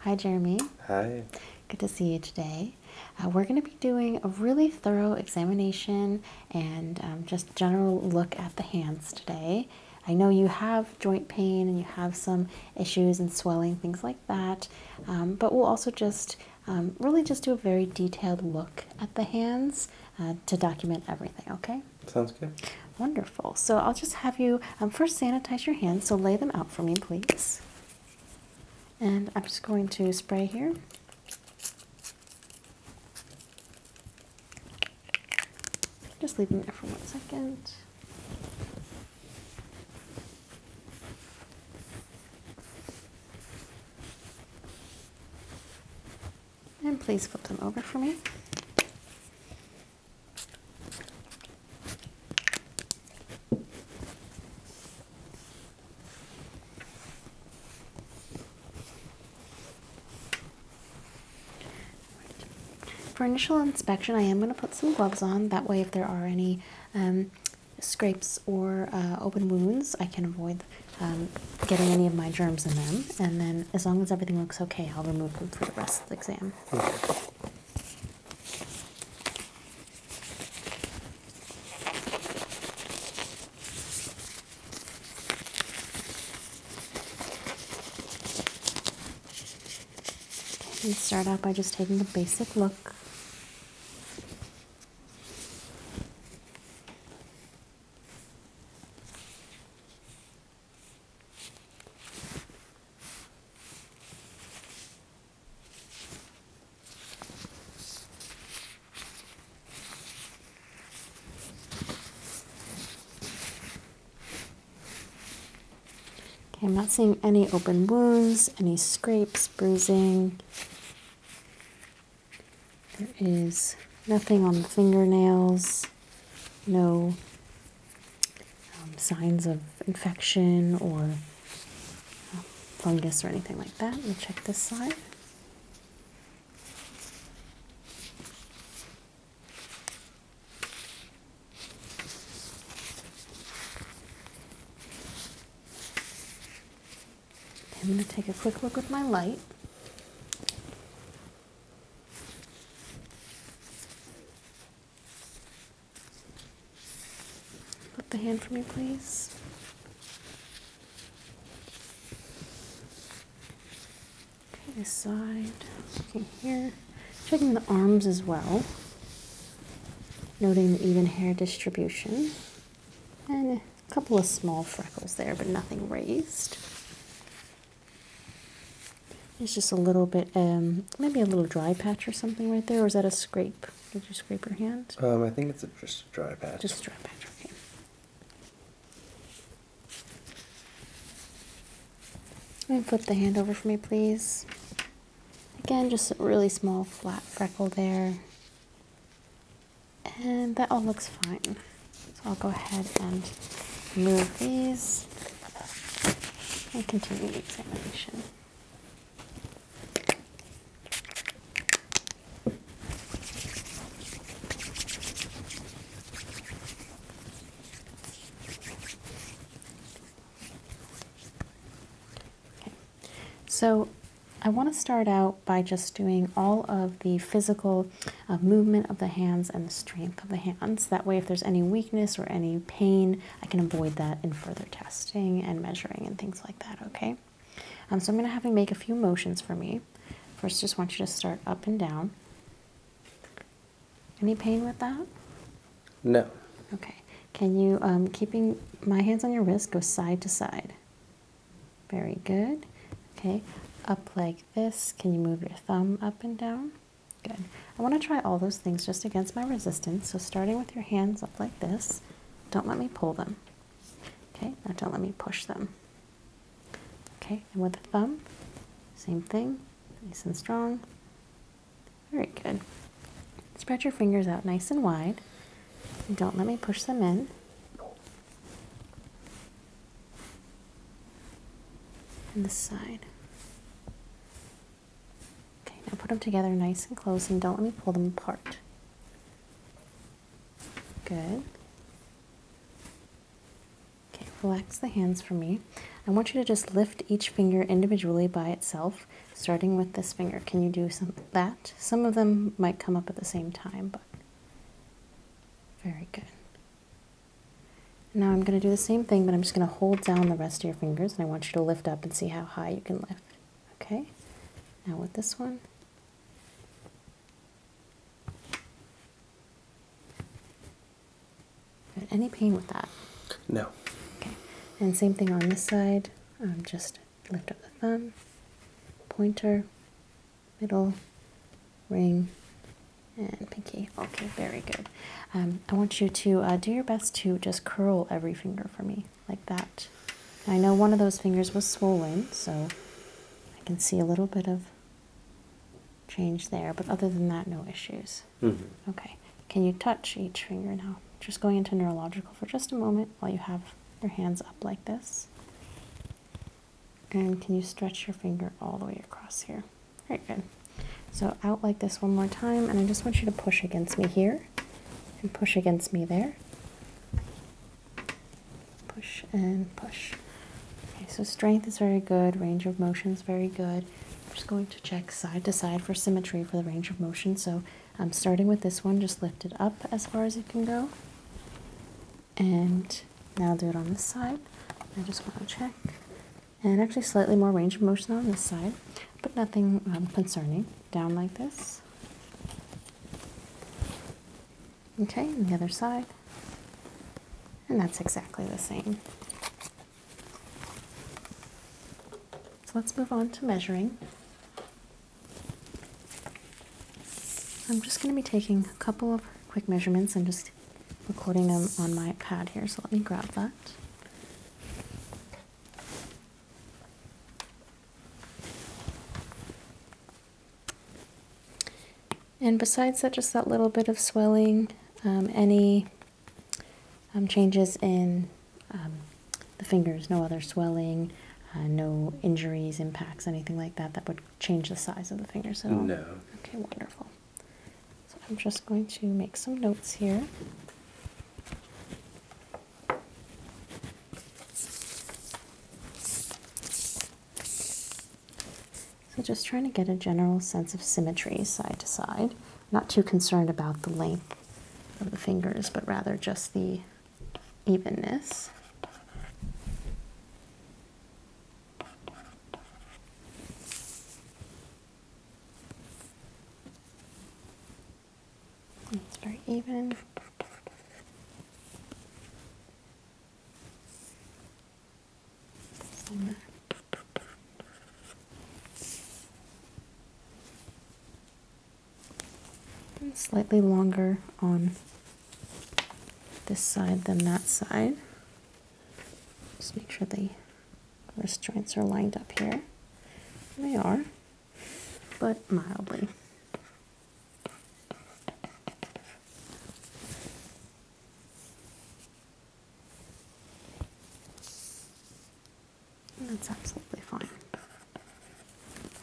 Hi, Jeremy. Hi. Good to see you today. Uh, we're going to be doing a really thorough examination and um, just general look at the hands today. I know you have joint pain and you have some issues and swelling, things like that, um, but we'll also just um, really just do a very detailed look at the hands uh, to document everything, okay? Sounds good. Wonderful. So I'll just have you um, first sanitize your hands. So lay them out for me, please. And I'm just going to spray here. Just leave them there for one second. And please flip them over for me. For initial inspection, I am going to put some gloves on. That way, if there are any um, scrapes or uh, open wounds, I can avoid um, getting any of my germs in them, and then as long as everything looks okay, I'll remove them for the rest of the exam. let's start out by just taking a basic look. Okay, I'm not seeing any open wounds, any scrapes, bruising. There is nothing on the fingernails, no um, signs of infection or um, fungus or anything like that. We'll check this side. I'm going to take a quick look with my light. Put the hand from me, please. Okay, this side. Okay, here. Checking the arms as well. Noting the even hair distribution. And a couple of small freckles there, but nothing raised. It's just a little bit, um, maybe a little dry patch or something right there, or is that a scrape? Did you scrape your hand? Um, I think it's just a dry patch. Just dry patch, okay. And flip the hand over for me, please. Again, just a really small flat freckle there and that all looks fine. So I'll go ahead and move these and continue the examination. Okay. So I want to start out by just doing all of the physical uh, movement of the hands and the strength of the hands. That way, if there's any weakness or any pain, I can avoid that in further testing and measuring and things like that, okay? Um, so I'm going to have you make a few motions for me. First, just want you to start up and down. Any pain with that? No. Okay. Can you, um, keeping my hands on your wrist, go side to side? Very good. Okay. Up leg this. Can you move your thumb up and down? Good. I want to try all those things just against my resistance. So starting with your hands up like this. Don't let me pull them. Okay, now don't let me push them. Okay, and with the thumb, same thing, nice and strong. Very good. Spread your fingers out nice and wide. don't let me push them in and this side. Okay, now put them together nice and close and don't let me pull them apart. Good. Okay, relax the hands for me. I want you to just lift each finger individually by itself, starting with this finger. Can you do some that? Some of them might come up at the same time, but very good. Now I'm going to do the same thing, but I'm just going to hold down the rest of your fingers, and I want you to lift up and see how high you can lift. Okay? Now with this one. Any pain with that? No. Okay. And same thing on this side. Um, just lift up the thumb, pointer, middle, ring, and pinky. Okay, very good. Um, I want you to uh, do your best to just curl every finger for me, like that. I know one of those fingers was swollen, so I can see a little bit of change there, but other than that, no issues. Mm-hmm. Okay, can you touch each finger now? Just going into neurological for just a moment while you have your hands up like this. And can you stretch your finger all the way across here? Very good. So out like this one more time, and I just want you to push against me here and push against me there. Push and push. Okay, so strength is very good, range of motion is very good. I'm just going to check side to side for symmetry for the range of motion. So I'm um, starting with this one, just lift it up as far as it can go and now do it on this side. I just want to check. And actually slightly more range of motion on this side, but nothing um, concerning. Down like this. Okay, and the other side. And that's exactly the same. So let's move on to measuring. I'm just going to be taking a couple of quick measurements and just recording them on my pad here, so let me grab that. And besides that, just that little bit of swelling, um, any um, changes in um, the fingers, no other swelling, uh, no injuries, impacts, anything like that that would change the size of the fingers at all? No. Okay, wonderful. So I'm just going to make some notes here. So just trying to get a general sense of symmetry side to side. Not too concerned about the length of the fingers, but rather just the evenness. It's very even. slightly longer on this side than that side. Just make sure the wrist joints are lined up here. They are, but mildly. That's absolutely fine. I'm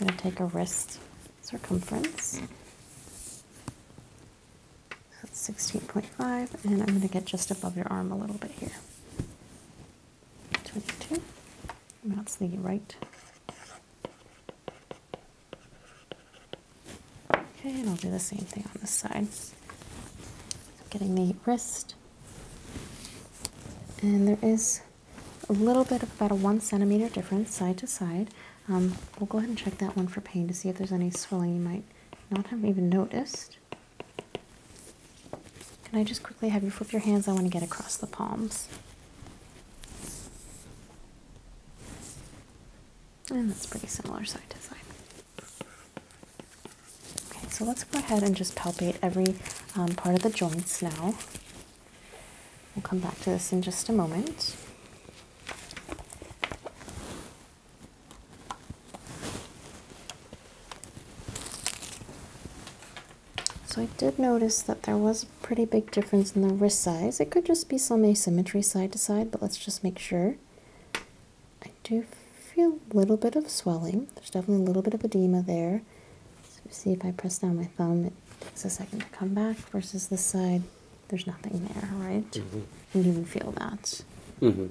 going to take a wrist circumference that's 16.5, and I'm going to get just above your arm a little bit here. 22, that's the right. Okay, and I'll do the same thing on this side. Getting the wrist, and there is a little bit of about a one centimeter difference side to side. Um, we'll go ahead and check that one for pain to see if there's any swelling you might not have even noticed. Can I just quickly have you flip your hands? I want to get across the palms. And that's pretty similar side to side. Okay, so let's go ahead and just palpate every um, part of the joints now. We'll come back to this in just a moment. So I did notice that there was a pretty big difference in the wrist size. It could just be some asymmetry side to side, but let's just make sure. I do feel a little bit of swelling. There's definitely a little bit of edema there. see if I press down my thumb, it takes a second to come back versus this side there's nothing there, right? Mm you can feel that. Mm-hmm.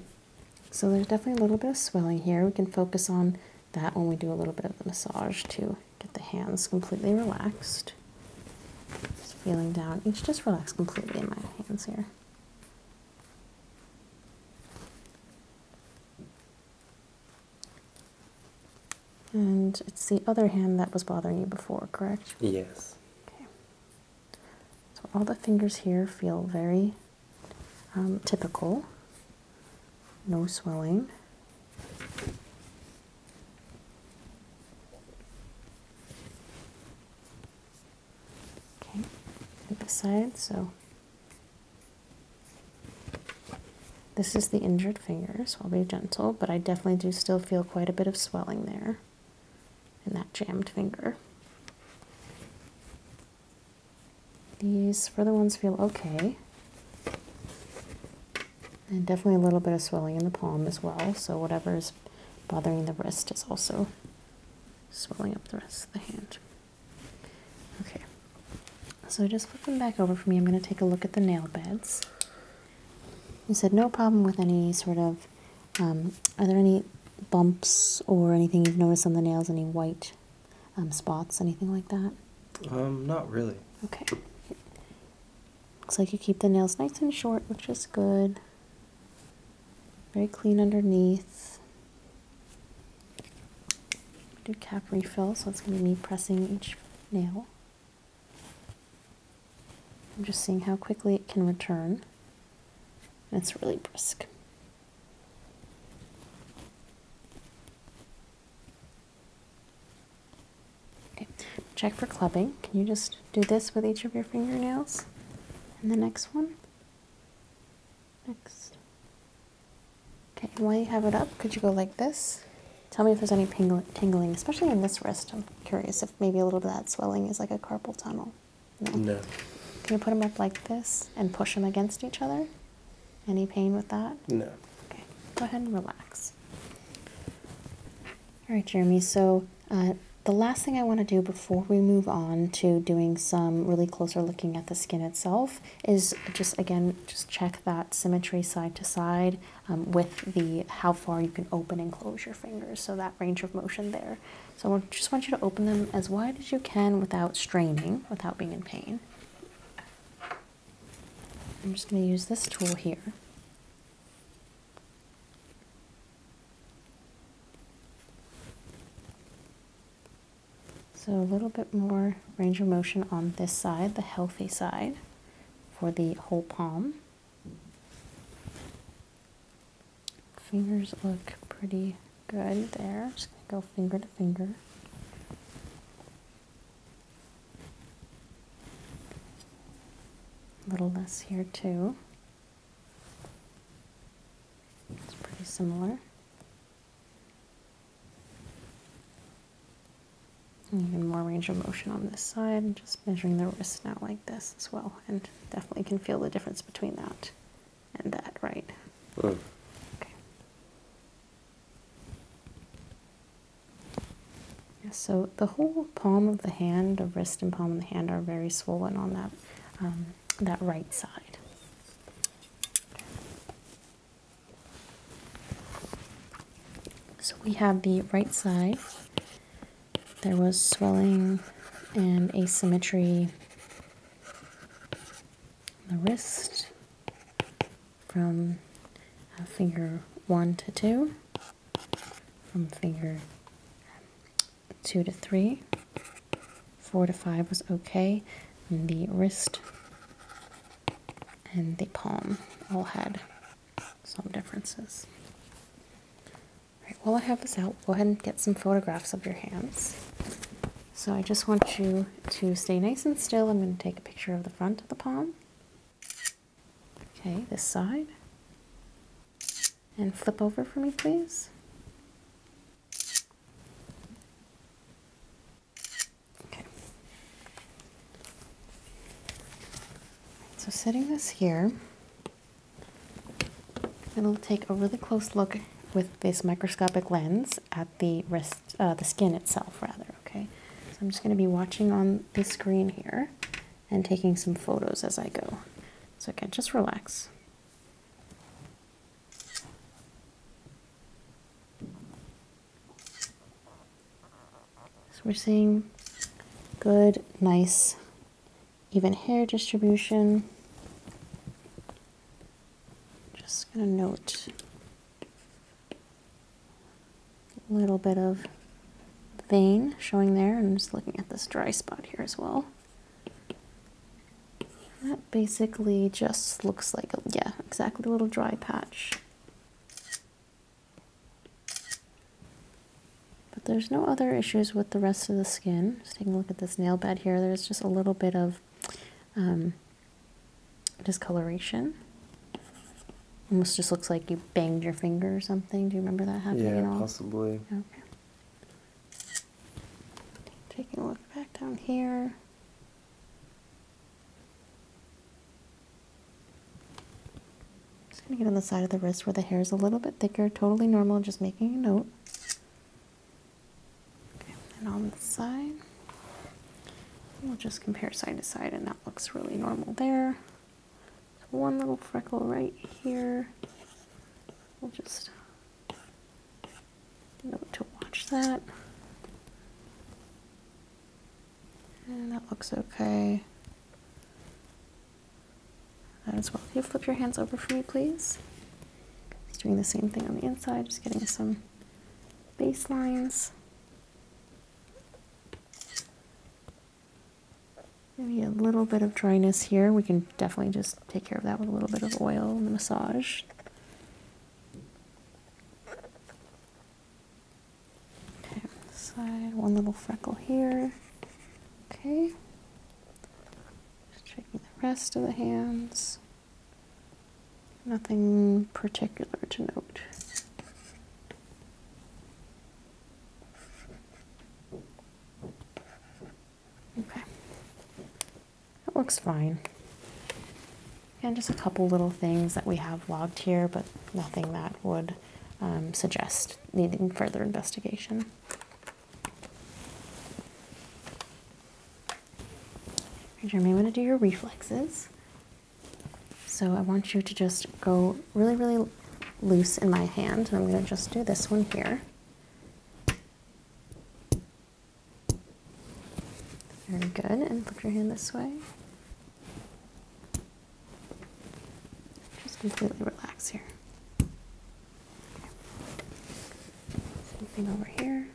So there's definitely a little bit of swelling here. We can focus on that when we do a little bit of the massage to get the hands completely relaxed. Just feeling down. Each just relax completely in my hands here. And it's the other hand that was bothering you before, correct? Yes. Okay. So all the fingers here feel very um, typical, no swelling. Okay, at side, so this is the injured finger, so I'll be gentle, but I definitely do still feel quite a bit of swelling there and that jammed finger. These further ones feel okay. And definitely a little bit of swelling in the palm as well. So whatever is bothering the wrist is also swelling up the rest of the hand. Okay. So just flip them back over for me, I'm going to take a look at the nail beds. You said no problem with any sort of um, are there any bumps or anything you've noticed on the nails? Any white um, spots, anything like that? Um, not really. Okay. Looks like you keep the nails nice and short, which is good. Very clean underneath. Do cap refill, so it's going to be me pressing each nail. I'm just seeing how quickly it can return. It's really brisk. Okay. Check for clubbing. Can you just do this with each of your fingernails? And the next one? Next. Okay, while you have it up, could you go like this? Tell me if there's any tingling, especially in this wrist. I'm curious if maybe a little bit of that swelling is like a carpal tunnel. No. Can you put them up like this and push them against each other? Any pain with that? No. Okay. Go ahead and relax. All right, Jeremy. So uh, the last thing I want to do before we move on to doing some really closer looking at the skin itself is just again just check that symmetry side to side um, with the how far you can open and close your fingers. So that range of motion there. So I just want you to open them as wide as you can without straining, without being in pain. I'm just going to use this tool here. So a little bit more range of motion on this side, the healthy side, for the whole palm. Fingers look pretty good there. Just gonna go finger to finger. A little less here too. It's pretty similar. even more range of motion on this side. just measuring the wrist now like this as well and Definitely can feel the difference between that and that, right? Hmm. Okay. so the whole palm of the hand, the wrist and palm of the hand, are very swollen on that um, that right side. So we have the right side there was swelling and asymmetry in the wrist from uh, finger 1 to 2, from finger 2 to 3, 4 to 5 was okay, the wrist and the palm all had some differences. Right, while I have this out, go ahead and get some photographs of your hands. So I just want you to stay nice and still. I'm going to take a picture of the front of the palm. Okay, this side. And flip over for me, please. Okay. So setting this here, and we'll take a really close look with this microscopic lens at the wrist, uh, the skin itself, rather. Okay, so I'm just going to be watching on the screen here and taking some photos as I go. So again, just relax. So we're seeing good, nice even hair distribution. Just going to note a little bit of vein showing there. I'm just looking at this dry spot here as well. That basically just looks like, a, yeah, exactly a little dry patch. But there's no other issues with the rest of the skin. Just taking a look at this nail bed here, there's just a little bit of um, discoloration. Almost just looks like you banged your finger or something. Do you remember that happening at all? Yeah, possibly. Okay. Taking a look back down here. Just gonna get on the side of the wrist where the hair is a little bit thicker. Totally normal. Just making a note. Okay, and on the side, we'll just compare side to side, and that looks really normal there. one little freckle right here. We'll just note to watch that. And that looks okay. That as well. Can you flip your hands over for me, please? He's doing the same thing on the inside, just getting some base lines. Maybe a little bit of dryness here. We can definitely just take care of that with a little bit of oil and the massage. Okay, one little freckle here. Okay checking the rest of the hands. Nothing particular to note. Okay. That looks fine. And just a couple little things that we have logged here, but nothing that would um, suggest needing further investigation. Jeremy, I'm to do your reflexes. So I want you to just go really, really loose in my hand. And I'm going to just do this one here. Very good. And flip your hand this way. Just completely relax here. Something over here.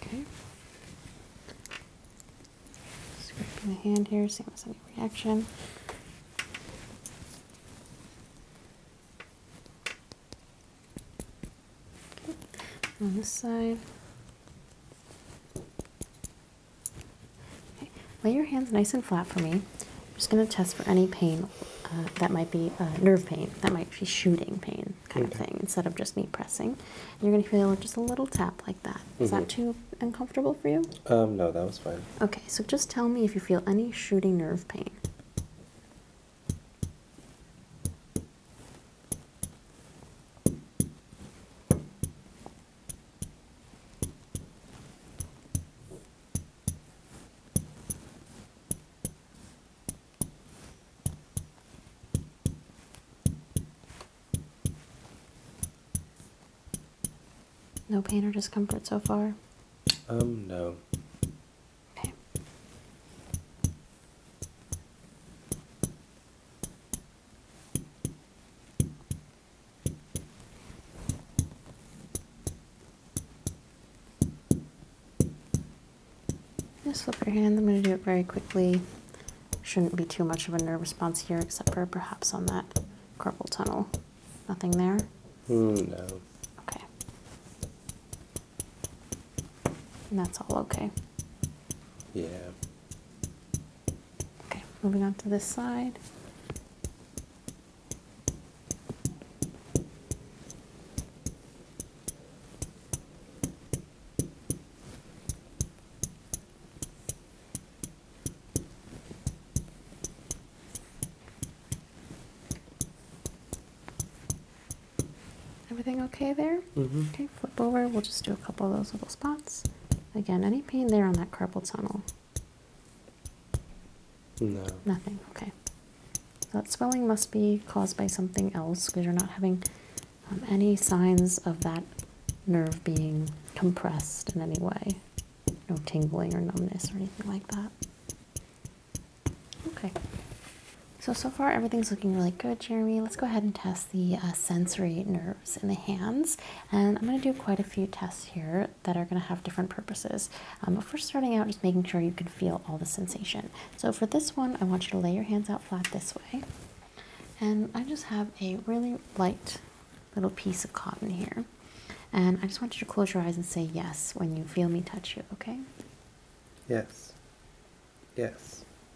Okay. Scraping the hand here, seeing if any reaction. On this side. Okay. Lay your hands nice and flat for me. I'm just going to test for any pain uh, that might be uh, nerve pain, that might be shooting pain kind of thing, instead of just me pressing. you're going to feel just a little tap like that. Is that mm-hmm. too uncomfortable for you? Um, no, that was fine. Okay, so just tell me if you feel any shooting nerve pain. No pain or discomfort so far? Um, no. Just flip your hand. I'm going to do it very quickly. Shouldn't be too much of a nerve response here, except for perhaps on that carpal tunnel. Nothing there? Hmm, no. Okay. And that's all okay. Yeah. Okay, moving on to this side. Everything okay there? Mm-hmm. Okay, flip over. We'll just do a couple of those little spots. Again, any pain there on that carpal tunnel? No. Nothing, okay. that swelling must be caused by something else because you're not having um, any signs of that nerve being compressed in any way. No tingling or numbness or anything like that. Okay. So, so far everything's looking really good, Jeremy. Let's go ahead and test the uh, sensory nerves in the hands. And I'm going to do quite a few tests here that are going to have different purposes. Um, but first, starting out, just making sure you can feel all the sensation. So, for this one, I want you to lay your hands out flat this way. And I just have a really light little piece of cotton here. And I just want you to close your eyes and say yes when you feel me touch you, okay? Yes. Yes.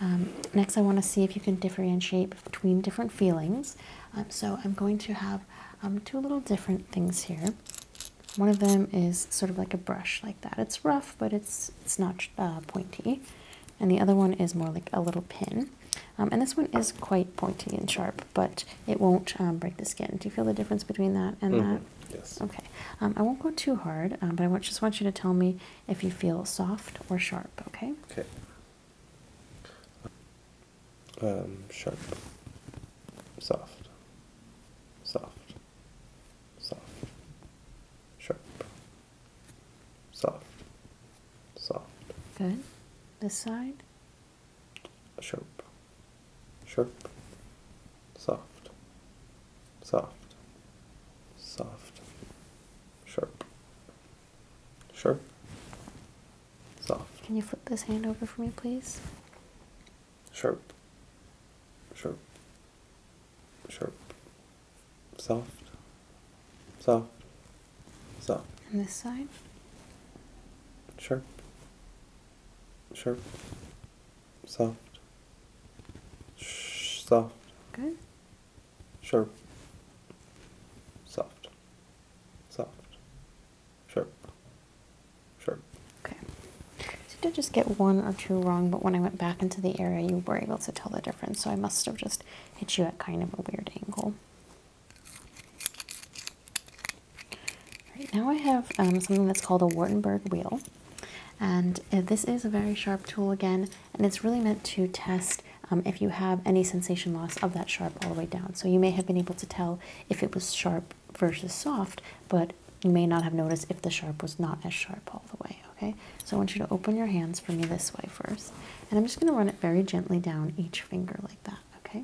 Um, next, I want to see if you can differentiate between different feelings. Um, so, I'm going to have um, two little different things here. One of them is sort of like a brush, like that. It's rough, but it's it's not uh, pointy. And the other one is more like a little pin. and this one is quite pointy and sharp, but it won't break the skin. Do you feel the difference between that and mm-hmm. that? Yes. Okay. I won't go too hard, but I just want you to tell me if you feel soft or sharp, okay? Okay. Um, sharp, soft, soft, soft, sharp, soft, soft. Good. This side? Sharp, sharp, soft, soft, soft, sharp, sharp, soft. Can you flip this hand over for me, please? Sharp, sharp, sharp, soft, soft, soft. And this side? Sharp, sharp, soft, soft. Okay sharp, soft, soft, sharp, sharp. Okay. So you did just get one or two wrong, but when I went back into the area, you were able to tell the difference. So I must have just hit you at kind of a weird angle. Right, now I have um, something that's called a Wartenberg wheel. And uh, this is a very sharp tool again and it's really meant to test um, if you have any sensation loss of that sharp all the way down. So you may have been able to tell if it was sharp versus soft, but you may not have noticed if the sharp was not as sharp all the way, okay? So I want you to open your hands for me this way first. And I'm just gonna run it very gently down each finger like that, okay?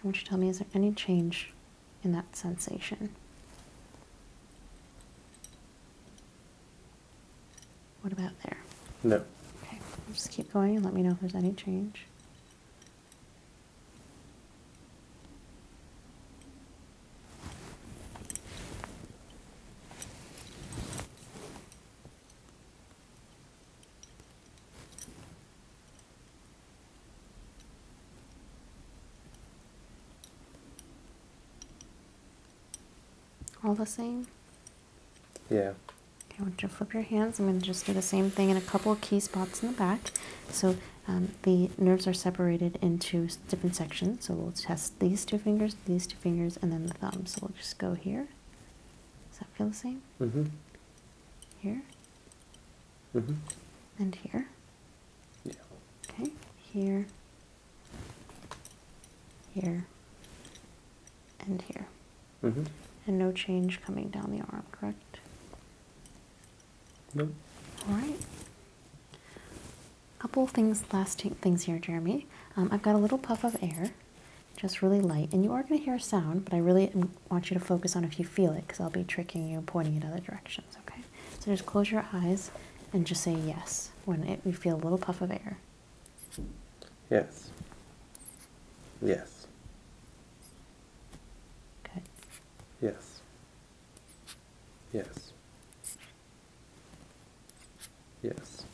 I want you to tell me, is there any change in that sensation? What about there? No. Okay, just keep going and let me know if there's any change all the same? Yeah. Okay, I want you to flip your hands. I'm going to just do the same thing in a couple of key spots in the back. So um, the nerves are separated into different sections. So we'll test these two fingers, these two fingers, and then the thumb. So we'll just go here. Does that feel the same? Mm-hmm. Here. Mm-hmm. And here. Yeah. Okay. Here here, and here. Mm-hmm. And no change coming down the arm, correct? No. All right. A couple things, last things here, Jeremy. Um, I've got a little puff of air, just really light, and you are going to hear a sound, but I really want you to focus on if you feel it, because I'll be tricking you, pointing in other directions. Okay. So just close your eyes and just say yes is when it, you feel a little puff of air. Yes. Yes. Good. Yes. Yes. Yes.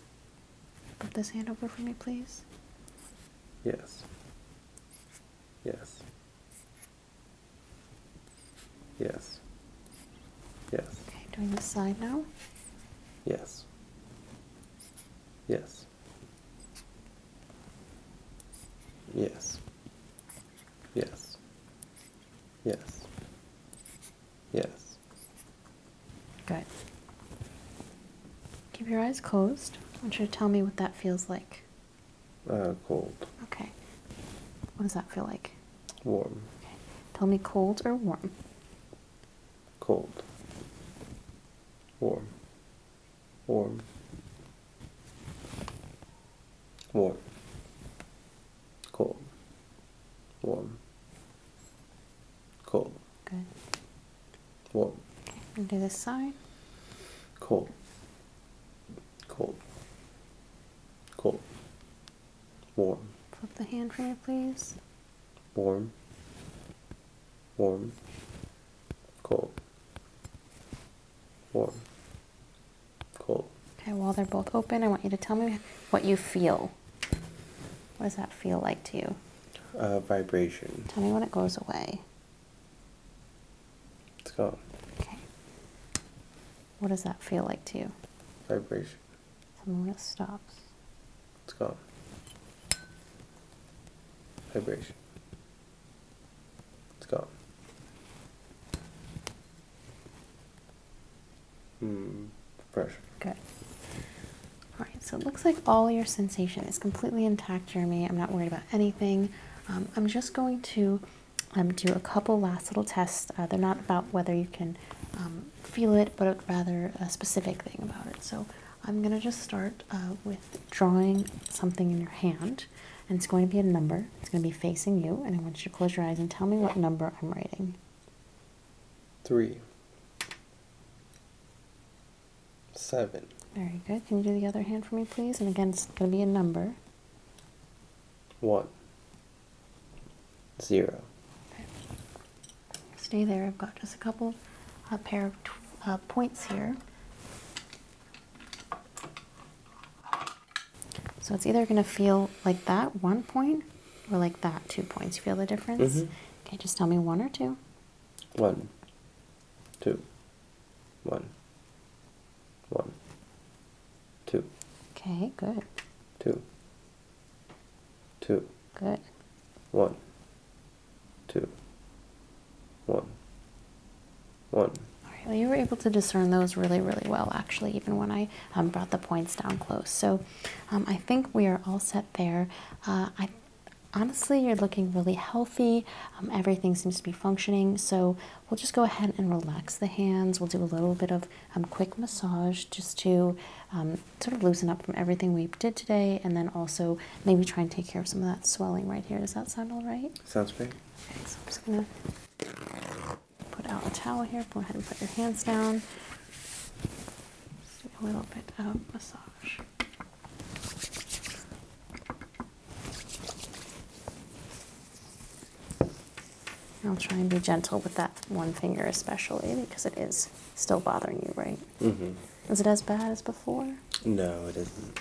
Put this hand over for me, please. Yes. Yes. Yes. Yes. Okay, doing the side now? Yes. Yes. Yes. Yes. Yes. Good. Keep your eyes closed. I want you to tell me what that feels like. Uh, cold. Okay. What does that feel like? Warm. Tell me cold or warm? Cold. Warm. Warm. Warm. Cold. Warm. Cold. Good. Warm. Okay. do this side. Cold. Cold. Cold warm. Flip the hand for me, please. Warm, warm, cold, warm, cold. Okay, while they're both open, I want you to tell me what you feel. What does that feel like to you? Uh, vibration. Tell me when it goes away. Let's go. Okay. What does that feel like to you? Vibration. Something real stops. It's gone. Vibration. It's gone. Hmm. Pressure. Good. All right. So it looks like all your sensation is completely intact, Jeremy. I'm not worried about anything. Um, I'm just going to um, do a couple last little tests. Uh, they're not about whether you can um, feel it, but rather a specific thing about it. So I'm going to just start uh, with drawing something in your hand, and it's going to be a number. It's going to be facing you, and I want you to close your eyes and tell me what number I'm writing. Three. Seven. Very good. Can you do the other hand for me, please? And again, it's going to be a number. One. Zero. Stay there. I've got just a couple, a pair of uh, points here. So it's either going to feel like that, one point, or like that, two points. You feel the difference? Mm-hmm. Okay, just tell me one or two. One, two, One. One. Two. Two. Okay, good. Two two. Good. One, two, one, one. All right, well, you were able to discern those really, really well, actually, even when I um, brought the points down close. So um, I think we are all set there. Uh, I honestly, you're looking really healthy. Um, everything seems to be functioning. So we'll just go ahead and relax the hands. We'll do a little bit of um, quick massage just to um, sort of loosen up from everything we did today and then also maybe try and take care of some of that swelling right here. Does that sound all right? Sounds great. Okay, so I'm just going to put out a towel here. Go ahead and put your hands down. Just a little bit of massage. I'll try and be gentle with that one finger, especially because it is still bothering you, right? Mm-hmm. Is it as bad as before? No, it isn't.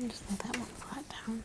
And just let that one flat down.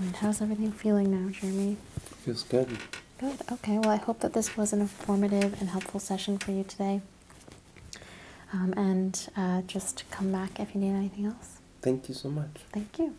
All right, how's everything feeling now, Jeremy? Feels good. Good. Okay. Well, I hope that this was an informative and helpful session for you today. Um, and uh, just come back if you need anything else. Thank you so much. Thank you.